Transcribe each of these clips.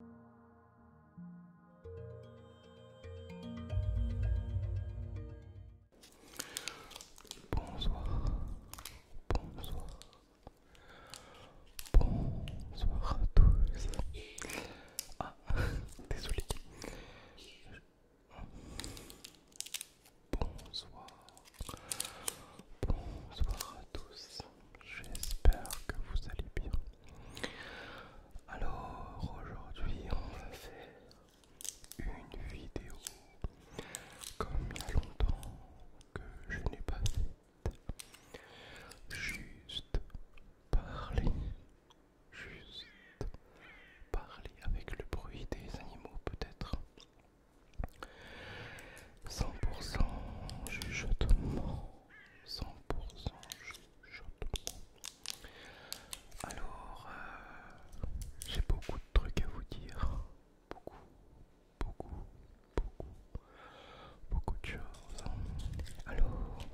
Bonsoir, bonsoir, bonsoir à tous. Ah, désolé. Bonsoir, bonsoir à tous j'espère que vous allez bien. Alors aujourd'hui on va faire une vidéo comme il y a longtemps que je n'ai pas fait. Juste parler, juste parler avec le bruit des animaux peut-être. 100% chuchotement 100% Alors, euh, j'ai beaucoup de trucs à vous dire. Beaucoup, beaucoup, beaucoup, beaucoup de choses. Hein. Alors,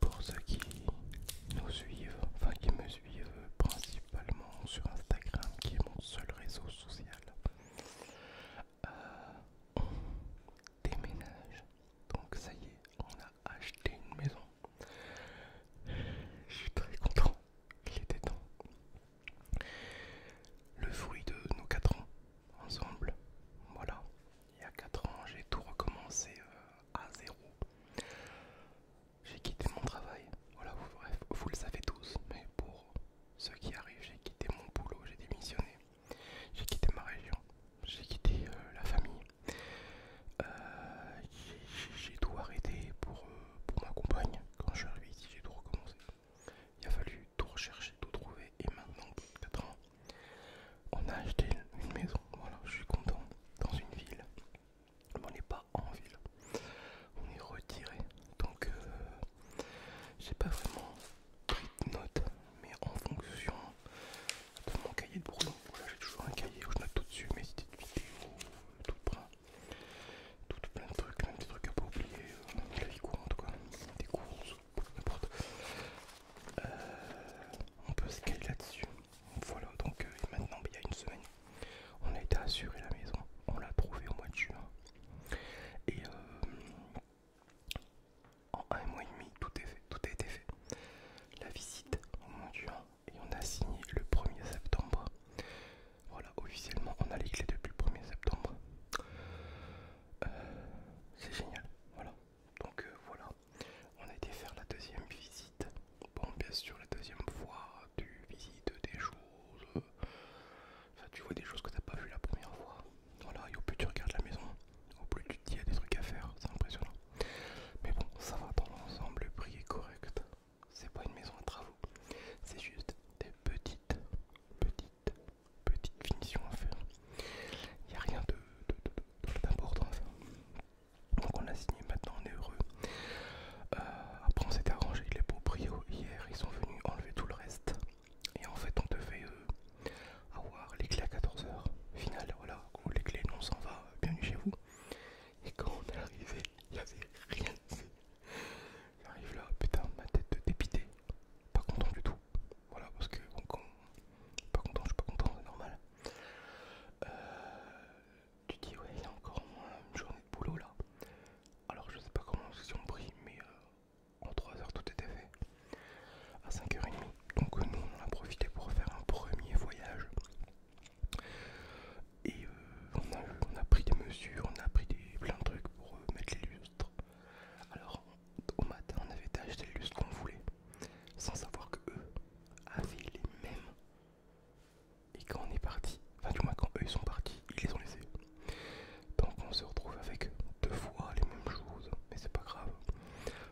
pour ceux qui nous suivent, enfin qui me suivent principalement sur Instagram, qui est mon seul réseau social, euh, on déménage. Donc ça y est, on a acheté une maison. Je suis très content, il était temps. Le fruit de nos 4 ans ensemble. Voilà, il y a 4 ans, j'ai tout recommencé euh, à zéro. J'ai quitté mon travail, voilà, bref, vous le savez tous, mais pour ceux qui arrivent, j'ai quitté mon boulot, j'ai démissionné. J'ai quitté ma région, j'ai quitté euh, la famille, euh, j'ai tout arrêté pour, euh, pour ma compagne. Quand je suis arrivé ici, j'ai tout recommencé. Il a fallu tout rechercher, tout trouver, et maintenant, plus 4 ans, on a acheté une maison. Voilà, je suis content dans une ville. Mais on n'est pas en ville, on est retiré. Donc, j'ai pas vraiment mais en fonction de mon cahier de brouillon. j'ai toujours un cahier où je note tout dessus mes idées de tout plein, tout plein de trucs, même des trucs à pas oublier, la vie courante quoi, des courses, n'importe. Euh, on peut se caler là-dessus. Voilà, donc euh, maintenant, il y a une semaine, on a été assuré la maison, on l'a trouvé au mois de juin. Et euh, en un mois et demi, tout, est fait, tout a été fait. La visite au Mont et on a signé le 1er septembre. Voilà, officiellement on a les clés depuis le 1er septembre. Euh, c'est génial, voilà. Donc euh, voilà, on a été faire la deuxième visite. Bon, bien sûr, la deuxième fois, tu visites des choses. Enfin, tu vois des choses que tu n'as pas vu la première fois. Voilà, et au plus tu regardes la maison, au plus tu te dis il y a des trucs à faire, c'est impressionnant. Mais bon, ça va dans l'ensemble, le prix est correct. C'est pas une maison à travaux, c'est juste des petites, petites, petites finitions à faire. Il n'y a rien d'important de, de, Donc on a signé, maintenant on est heureux. Euh, après on s'est arrangé, les beaux brio hier, ils sont venus enlever tout le reste. Et en fait, on devait fait euh, avoir les clés à 14h. Final, voilà, où les clés, on s'en va, bienvenue chez vous. Et quand on est arrivé, il n'y avait rien. J'arrive là, putain, ma tête de dépité. Pas content du tout. Voilà, parce que bon, Pas content, je suis pas content, c'est normal. Euh, tu dis, ouais, il y a encore une journée de boulot là. Alors, je sais pas comment ils ont pris, mais. Euh, en 3 heures tout était fait. À 5h30, donc euh, nous on a profité pour faire un premier voyage. Et euh, on, a, pris des mesures, on a pris des, plein de trucs pour euh, mettre les lustres. Alors au matin on avait acheté les lustres qu'on voulait, sans savoir qu'eux avaient les mêmes. Et quand on est parti, enfin du moins quand eux ils sont partis, ils les ont laissés. Donc on se retrouve avec deux fois les mêmes choses mais c'est pas grave.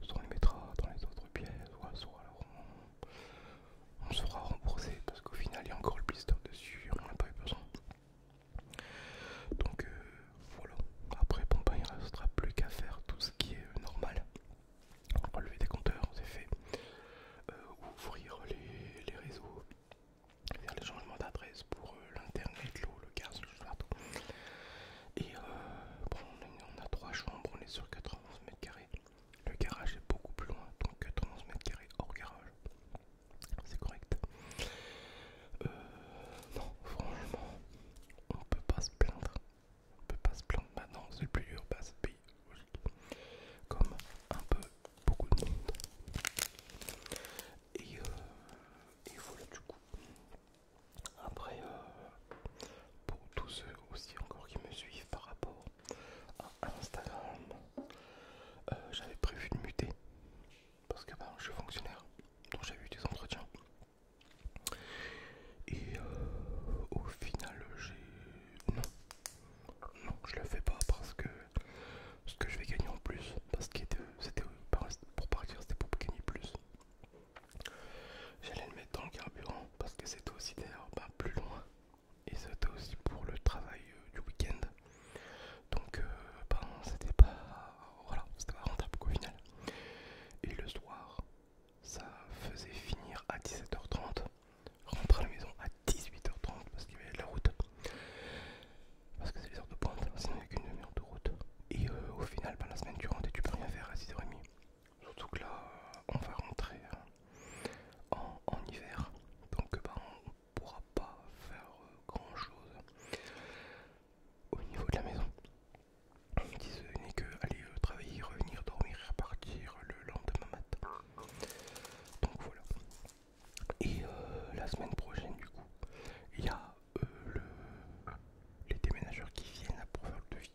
Soit on les mettra dans les autres pièces, soit, alors on, sera remboursé parce qu'au final il y a encore le blister dessus, on a pas eu besoin. Donc euh, voilà, après bon bah, il ne restera plus qu'à faire tout ce qui est normal. enlever des compteurs, c'est fait. Euh, ouvrir les, les réseaux, faire les changements d'adresse pour euh, l'internet, l'eau, le gaz, le partout. Et euh, bon, on, a trois chambres, on est sur 91 mètres carrés. Le garage est beaucoup plus loin, donc 91 mètres carrés hors garage. C'est correct. Euh, non, franchement, on ne peut pas se plaindre. On ne peut pas se plaindre maintenant, c'est le plus dur, bah, c'est pays, logique. Comme un peu beaucoup de monde. Et, il euh, faut, voilà, du coup, après, euh, pour tous ceux aussi encore qui me suivent par rapport à Instagram, euh, j'avais prévu de muter parce que ben, je suis fonctionnaire, donc j'ai eu des entretiens. Et euh, au final, j'ai. Non, non, je le fais pas parce que ce que je vais gagner en plus, parce que c'était pour partir, c'était pour gagner plus. J'allais le mettre dans le carburant parce que c'était aussi d'ailleurs pas plus loin et c'était aussi pour le travail euh, du week-end. Donc, euh, c'était pas, voilà, c'était pas rentable au final. Et le soir, ça faisait finir à 17h30, rentrer à la maison à 18h30 parce qu'il y avait la route. Parce que c'est les heures de pointe, sinon il n'y a qu'une demi de route. Et euh, au final, bah, la semaine et tu peux rien faire à 6h30. Surtout que là, on va rentrer hein, en, hiver. Donc, bah, on pourra pas faire euh, grand chose au niveau de la maison. disons n'est que aller euh, travailler, revenir, dormir, repartir le lendemain matin. Donc voilà. Et la semaine prochaine, du coup, il y a euh, les déménageurs qui viennent pour faire le devis.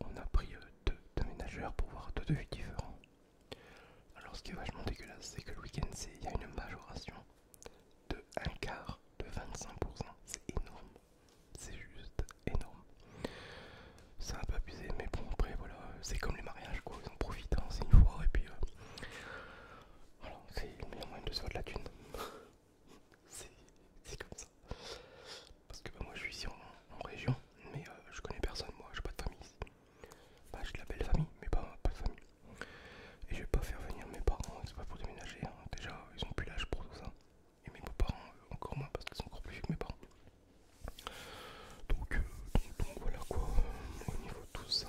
On a pris euh, deux déménageurs pour voir deux devis différents. Alors ce qui est vachement dégueulasse, c'est que le week-end, il y a une majoration de un quart de 25%. C'est énorme. C'est juste énorme. C'est un peu abusé, mais bon, après, voilà, c'est comme les mariages, quoi. Ils en profitent, hein, c'est une fois, et puis... Euh, voilà, c'est le au moins de se de la thune. C'est comme ça. Parce que bah, moi je suis ici en, région, mais euh, je connais personne, moi j'ai pas de famille ici. Bah, j'ai de la belle famille, mais pas, de famille. Et je vais pas faire venir mes parents, c'est pas pour déménager. Hein. Déjà, ils sont plus l'âge pour tout ça. Et mes beaux-parents, euh, encore moins, parce qu'ils sont encore plus vieux que mes parents. Donc, euh, voilà quoi, au niveau de tout ça.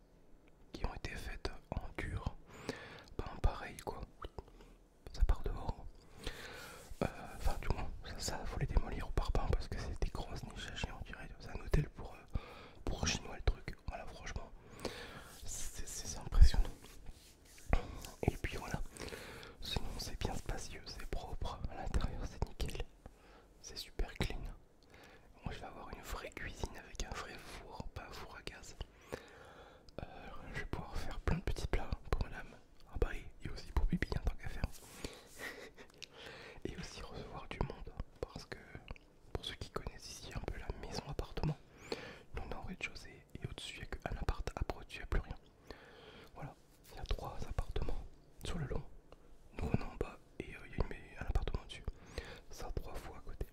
qui ont été faites en dur, pas en pareil quoi. Ça part dehors. Euh, enfin, du moins, ça, faut les démolir au pain parce que c'est des grosses niches à chien, on dirait. C'est un hôtel pour, euh, pour chinois le truc. Voilà, franchement, c'est impressionnant. Et puis voilà, sinon c'est bien spacieux, c'est propre, à l'intérieur c'est nickel, c'est super clean. Moi je vais avoir une vraie cuisine avec un vrai four, pas un four à gaz. Euh, je vais pouvoir faire plein de petits plats pour madame. à ah Paris, bah, et, aussi pour Bibi en tant qu'affaire. faire. et aussi recevoir du monde. Parce que pour ceux qui connaissent ici un peu la maison appartement, on est en rez-de-chaussée et au-dessus il n'y a qu'un appart, à au-dessus il n'y a plus rien. Voilà, il y a trois appartements sur le long. Nous on est en bas et euh, il y a un appartement au-dessus. Ça trois fois à côté.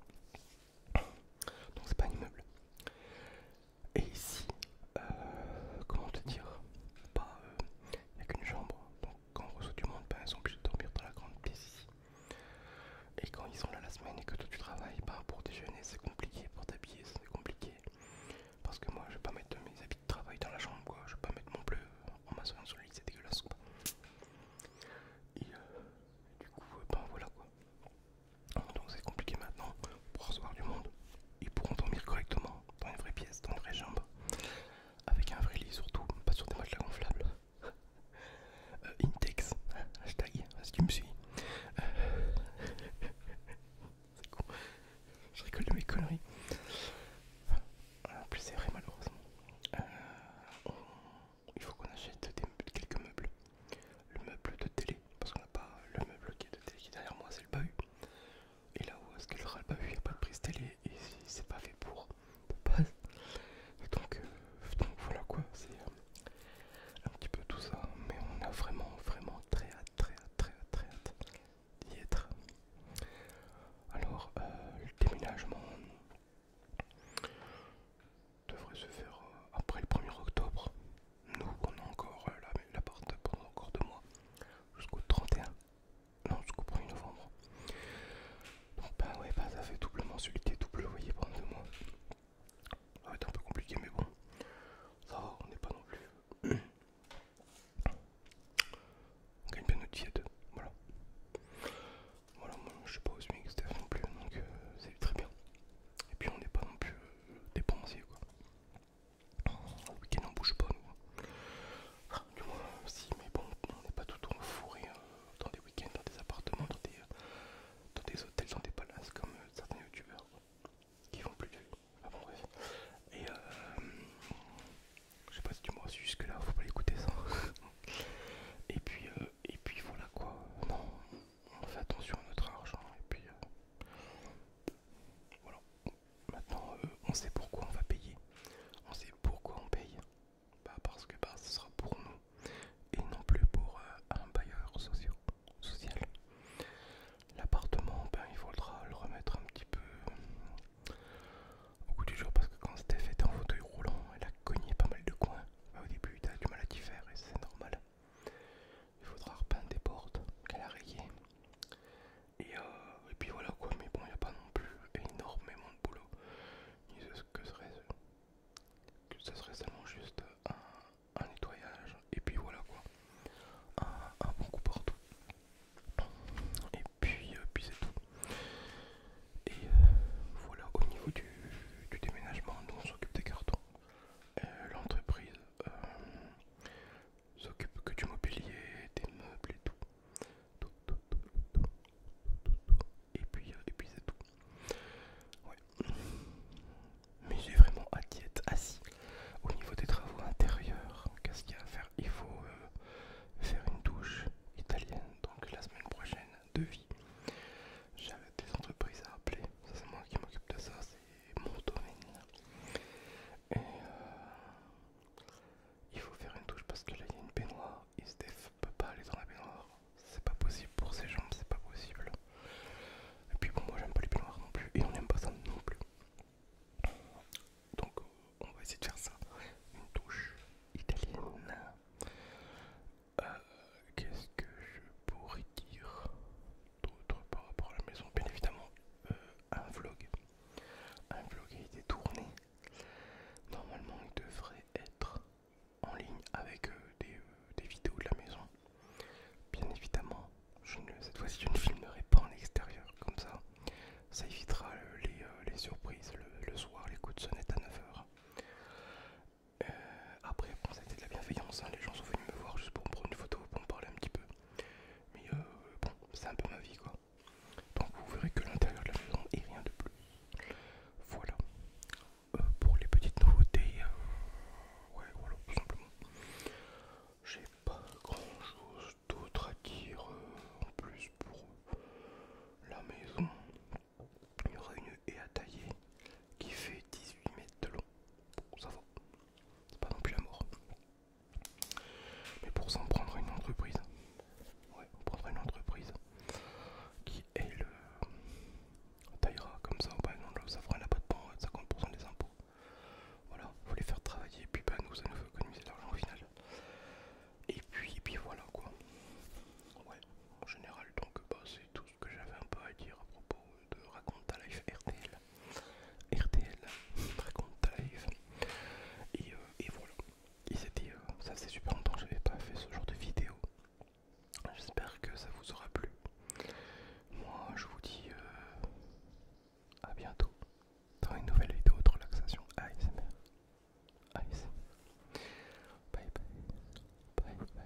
Donc c'est pas un immeuble. Et ici, euh, comment te dire, il n'y euh, a qu'une chambre. Donc quand on reçoit du monde, ben, ils sont obligés de dormir dans la grande pièce ici. Et quand ils sont là la semaine et que toi tu travailles, ben, pour déjeuner c'est compliqué, pour t'habiller c'est compliqué. Parce que moi je vais pas mettre mes habits de travail dans la chambre, quoi. je vais pas mettre mon bleu en m'assoyant sur le lit, c'est dégueulasse. Et euh, du coup, ben voilà quoi. Donc c'est compliqué maintenant pour recevoir du monde. et pour endormir correctement dans une vraie pièce, dans une vraie chambre, avec un vrai lit surtout, pas sur des matelas gonflables. Euh, Intex, hashtag, si tu me suis. c'est con, je rigole de mes conneries. En plus c'est vrai malheureusement. Euh, il faut qu'on achète quelques meubles. Le meuble de télé, parce qu'on n'a pas le meuble qui est de télé qui est derrière moi, c'est le bahut. Et là où est-ce qu'il aura le bahut, il n'y a pas de prise télé et c'est pas fait pour euh, Donc, voilà quoi, c'est euh, un petit peu tout ça, mais on a vraiment vraiment très hâte, très très très d'y être. Alors, euh, le déménagement devrait se faire euh, après le 1er octobre. Nous, on a encore l'appart euh, la, la part pendant encore deux mois, jusqu'au 31, non, jusqu'au 1er novembre. Donc, bah ouais, bah ça fait double mensualité, double voyez pendant deux mois. Ça va être un peu compliqué, mais bon, ça va, on n'est pas non plus. On gagne bien notre vie à voilà. Voilà, moi je suis pas au SMIC, Steph non plus, donc euh, c'est très bien. Et puis on n'est pas non plus euh, dépensier quoi. Le week-end on bouge pas nous. Hein. du moins si mais bon on n'est pas tout le temps fourré hein, dans des week-ends, dans des appartements, dans des, euh, des hôtels, dans des palaces comme euh, certains youtubeurs qui font plus de vues. Et euh, je sais pas si tu m'as aussi jusque là, faut pas l'écouter ça. Et puis et puis voilà quoi. Non, on fait attention à notre argent et puis euh, voilà. Maintenant, euh, on sait pourquoi on va payer. On sait pourquoi on paye. Bah parce que bah, ce sera pour nous et non plus pour euh, un bailleur social. L'appartement, ben il faudra le remettre un petit peu au goût du jour parce que quand Steph était en fauteuil roulant, elle a cogné pas mal de coins. Bah, au début, as du mal à t'y faire et c'est normal. Il faudra repeindre des portes qu'elle a euh, Et, puis voilà quoi, mais bon, il n'y a pas non plus énormément de boulot. Que serait ce serait seulement juste un, nettoyage et puis voilà quoi un, bon coup partout et puis, euh, puis c'est tout et euh, voilà au niveau du, du déménagement nous on s'occupe des cartons euh, l'entreprise euh, s'occupe que du mobilier, des meubles et tout. Et puis, c'est tout. Mais j'ai vraiment à diète, assis. Au niveau des travaux intérieurs, qu'est-ce qu'il y a à faire Il faut euh, faire une douche italienne. Donc la semaine prochaine, de vie. J'avais des entreprises à appeler, ça c'est moi qui m'occupe de ça, c'est mon domaine. Et euh, il faut faire une touche parce que là il y a une baignoire, Steph peut pas aller dans la baignoire, c'est pas possible pour ses jambes, c'est pas possible. Et puis bon, moi j'aime pas les baignoires non plus, et on n'aime pas ça non plus. Donc on va essayer de faire ça, une touche italienne. Euh, qu'est-ce que je pourrais dire d'autre par rapport à la maison Bien évidemment, euh, un vlog. Un vlog a été tourné. Normalement, il devrait être en ligne avec euh, des, vidéos de la maison. Bien évidemment, cette fois-ci, je ne filmerai pas en extérieur comme ça. Ça évitera les, surprises le, le soir, les coups de sonnette à 9h. Euh, après, c'était de la bienveillance, hein. les gens sont venus me voir juste pour me prendre une photo, pour me parler un petit peu. Mais euh, bon, c'est un peu ma vie quoi. Donc vous verrez que l'intérieur de la maison est rien de plus. Voilà. Euh, pour les petites nouveautés, ouais, voilà, tout simplement. J'ai pas grand chose d'autre à dire en plus pour la maison. Il y aura une haie à tailler qui fait 18 mètres de long. Bon, ça va, c'est pas non plus la mort. Mais pour s'en prendre une entreprise, ouais, on prendra une entreprise qui est le euh, taillera comme ça, bah, ça fera un abattement de 50% des impôts. Voilà, faut les faire travailler, puis bah, nous ça nous fait économiser de l'argent au final. Et puis, et puis voilà quoi. Ouais, en général, donc bah c'est tout que j'avais un peu à dire à propos de Raconte ta life RTL. RTL, Raconte ta life. Et, euh, voilà. il c'était, euh, ça c'est super longtemps que n'avais pas fait ce genre de vidéo. J'espère que ça vous aura plu. Moi, je vous dis euh, à bientôt dans une nouvelle vidéo de relaxation ASMR. ASMR. Bye bye. Bye bye.